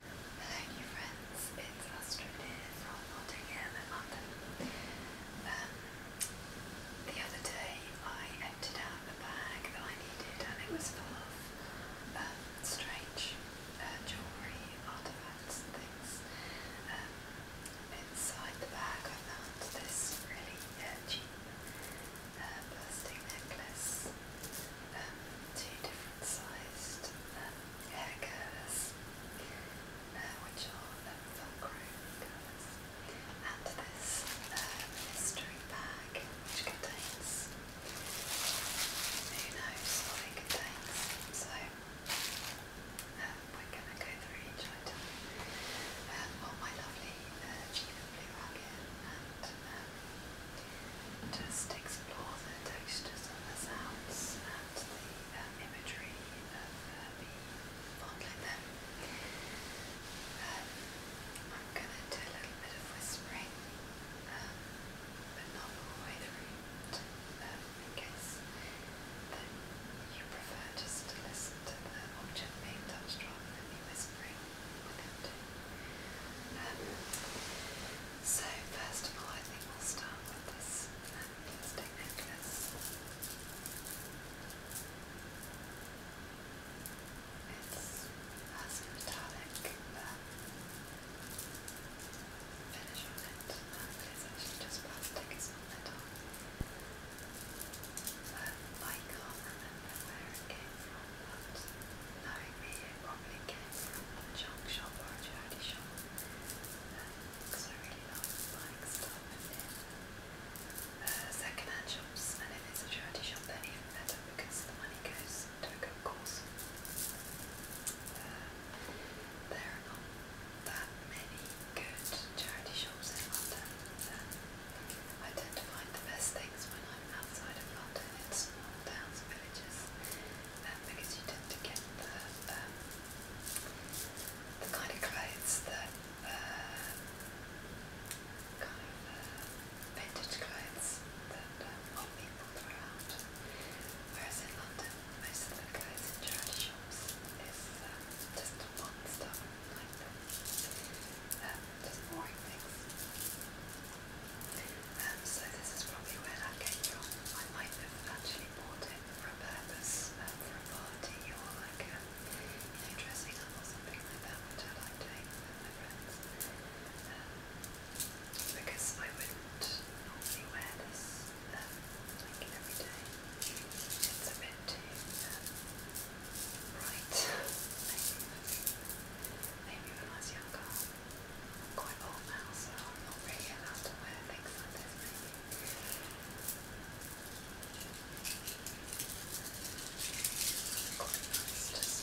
Hello new friends, it's Astrid here from Nottingham London. Um, the other day I emptied out the bag that I needed and it was full of um, strange uh, jewellery, artefacts and things. Um, inside the bag I found this really uh, cheap bursting uh, necklace um, two different sized um, hair curlers, uh, which are um, velcro curlers, and this um, mystery bag which contains, who knows what it contains, so we're going to go through each item. Um, well, my lovely uh, Chiba and just explore the textures and the sounds and the um, imagery of uh, me fondling them. Um, I'm going to do a little bit of whispering, um, but not all the way through, to, in case that you prefer just to listen to the object being touched rather than me whispering so first of all, I think we'll start with this necklace. It's has finish on it, um, but it's actually just plastic, it's not metal. I can't remember where knowing me, probably came from a junk shop or a charity shop because I really love buying stuff second hand shops, and if it's a charity shop, then even better because the money goes to good cause. there are not that many good charity shops in London. Um, I tend to find the best things when I'm outside of London in small towns and villages um, because you tend to get the, um, the kind of clothes that uh, kind of uh, vintage clothes that um, old people throw out whereas in London most of the clothes in charity shops is um, just one stuff um, so this is probably where that came from. I might have actually bought it for a purpose, for a party or like um, you or something like I like because I wouldn't normally wear this um, like every day. It's a bit too um, Right. Maybe when I was younger. I'm quite old now, so I'm not really allowed to wear things Quite just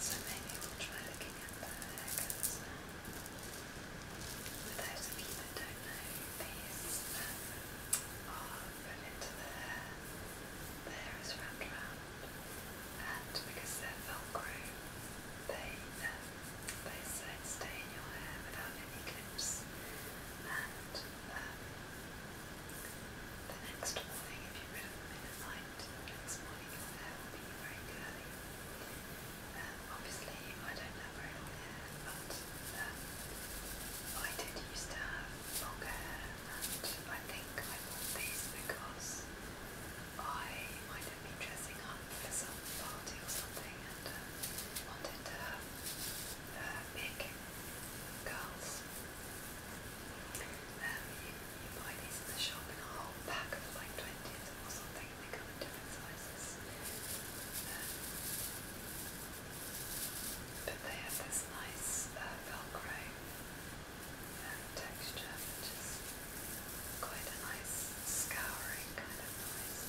So maybe we'll try looking at the hackers. For those of you that don't know, these um, are put into the hair. The hair is wrapped around, and because they're velcro, they um, they stay in your hair without any clips, and um, the next morning, if you read of them in the night, the next morning your hair will be very curly. Um, obviously, I don't have very long hair, but um, uh, I did used to have long hair, and I think I bought these because I might have been dressing up for some party or something, and um, wanted to have uh, big girls. you, buy these in the shop in a whole pack of like 20 or something, they come in different sizes. Um, but they have this nice uh, velcro uh, texture, which quite a nice scouring kind of noise.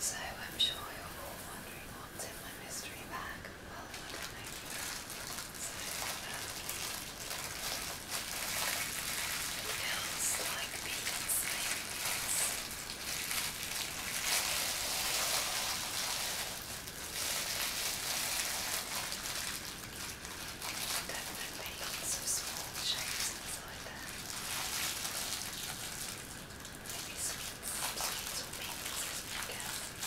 So I'm sure you're all wondering what's in my mystery bag. it feels um, like beads, Definitely lots of small shapes inside there. Maybe sweets, sweets or beans, I guess. There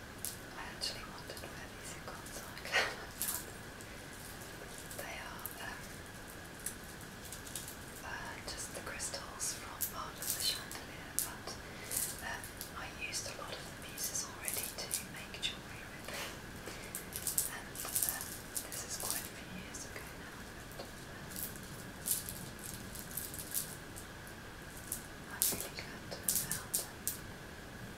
I actually wondered where these icons are. they are um, uh, just the crystals from part the chandelier, but um, I used a lot of the pieces already to make jewellery And um, this is quite a few years ago now. i really glad to have them.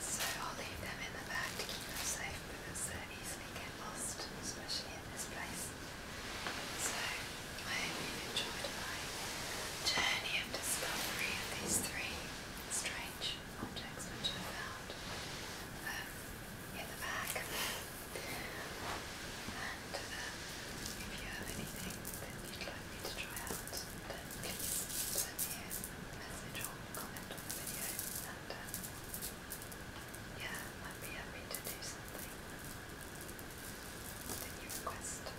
So I'll leave them in the bag to keep them safe because they're uh, easily get lost, especially in this place. So I hope you enjoyed my journey of discovery of these three strange objects which I found um, in the bag. And um, if you have anything that you'd like me to try out, then please send me a message or comment on the video um, yeah, I'd be happy to do something that you request.